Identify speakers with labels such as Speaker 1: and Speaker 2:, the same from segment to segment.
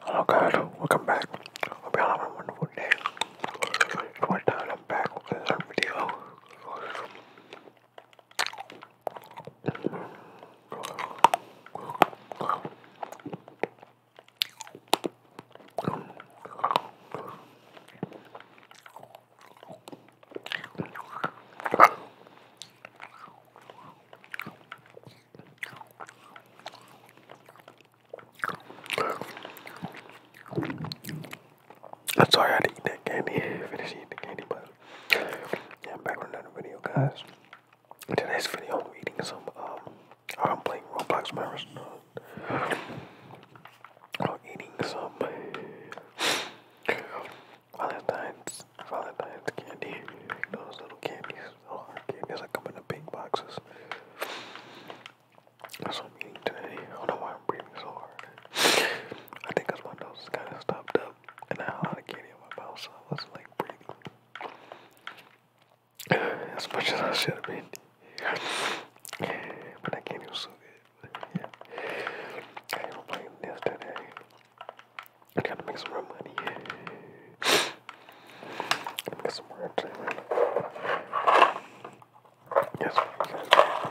Speaker 1: Hello God, welcome back. Hope you have a wonderful day. It's one time I'm back with another video. I'm sorry I didn't eat that candy. Finish eating the candy, but yeah, I'm back with another video, guys. In today's video, I'm eating some. Um, I'm playing Roblox my restaurant. I'm eating some Valentine's Valentine's candy. Those little candies all our candies that come in pink boxes. That's what I'm eating today. I don't know why I'm breathing so hard. I think my nose is kind of stopped up and I had a lot of candy in my mouth, so I was like breathing as much as I should have but I can't even so Yeah. I am playing this today. I gotta make some more money. Get some more entertainment. Yes, we can. Yeah.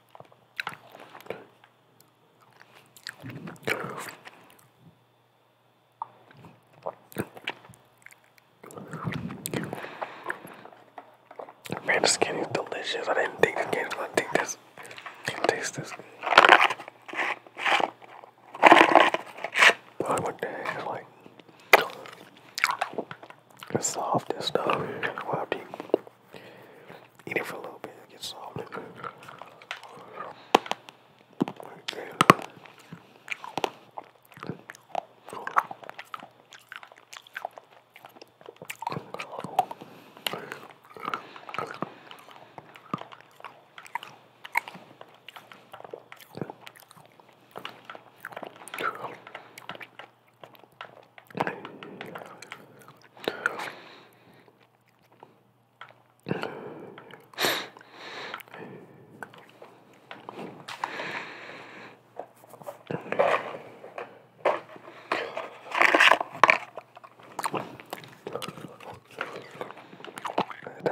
Speaker 1: Man, this candy is delicious. I didn't think this candy was this. did taste this. But what the heck? It's like the stuff. Wow, deep. Eat it for a little bit, get salted.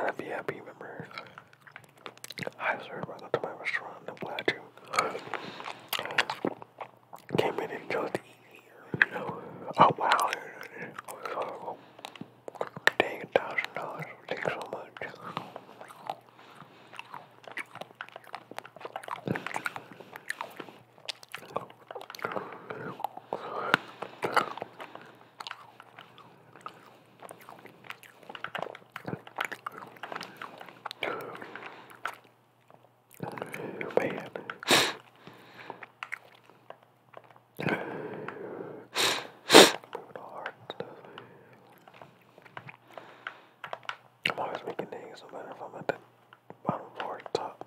Speaker 1: That'd be happy, remember? I served my restaurant. I'm glad you came in and chose the eat You know, oh wow, it thousand dollars. Thanks so much. Man. I'm always making things, no matter if I'm at the bottom or the top.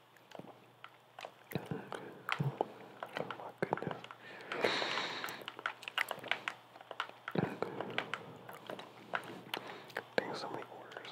Speaker 1: Oh my goodness. There's so many orders.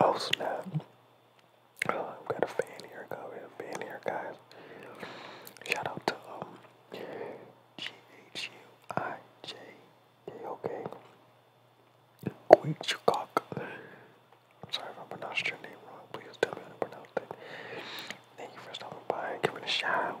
Speaker 2: Oh snap. Oh, I've got a fan here, guy. fan here, guys. Shout out to um G H U I J K O K. Queechcock. I'm sorry if I pronounced your name wrong. Please tell me how to pronounce that. Thank you for stopping by and giving a shout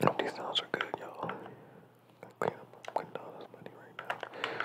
Speaker 2: Oh, these sounds are good, y'all. I'm cleaning up, this money right now.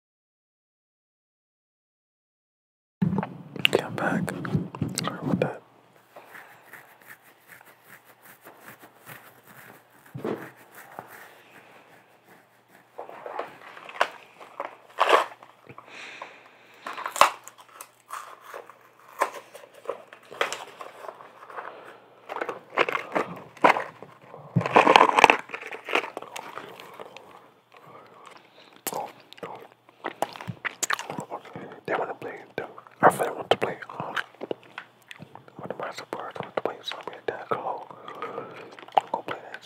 Speaker 2: Come back. Sorry about that. They want to play. I uh, really want to play. what am I supposed to play? Something like that. Go, go play that.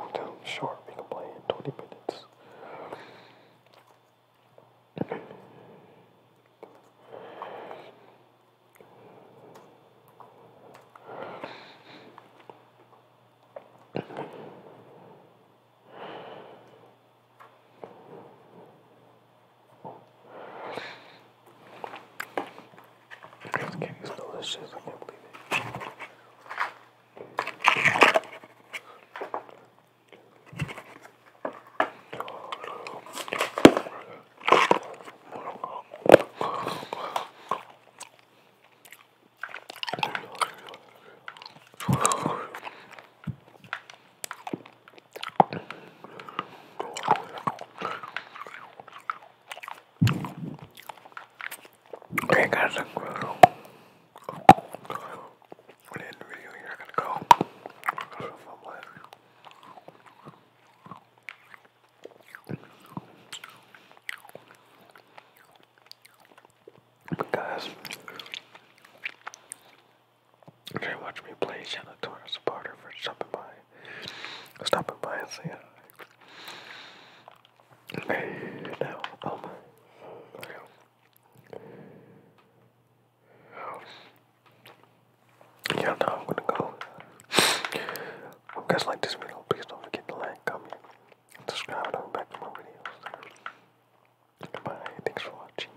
Speaker 2: I'm we can play 20 minutes. This candy's delicious. I can't believe it.
Speaker 3: Hey guys, I'm Grosso. We're in the video here. I gotta go. So
Speaker 1: but guys, they watch me play Shannon Torres supporter for stopping by. Stopping by and saying hi. Hey, now, oh my. Yeah. Yeah, no, I'm gonna go. Hope you guys like this video. Please don't forget to like, comment, and subscribe. And I'll back to my videos. Bye. Thanks for watching.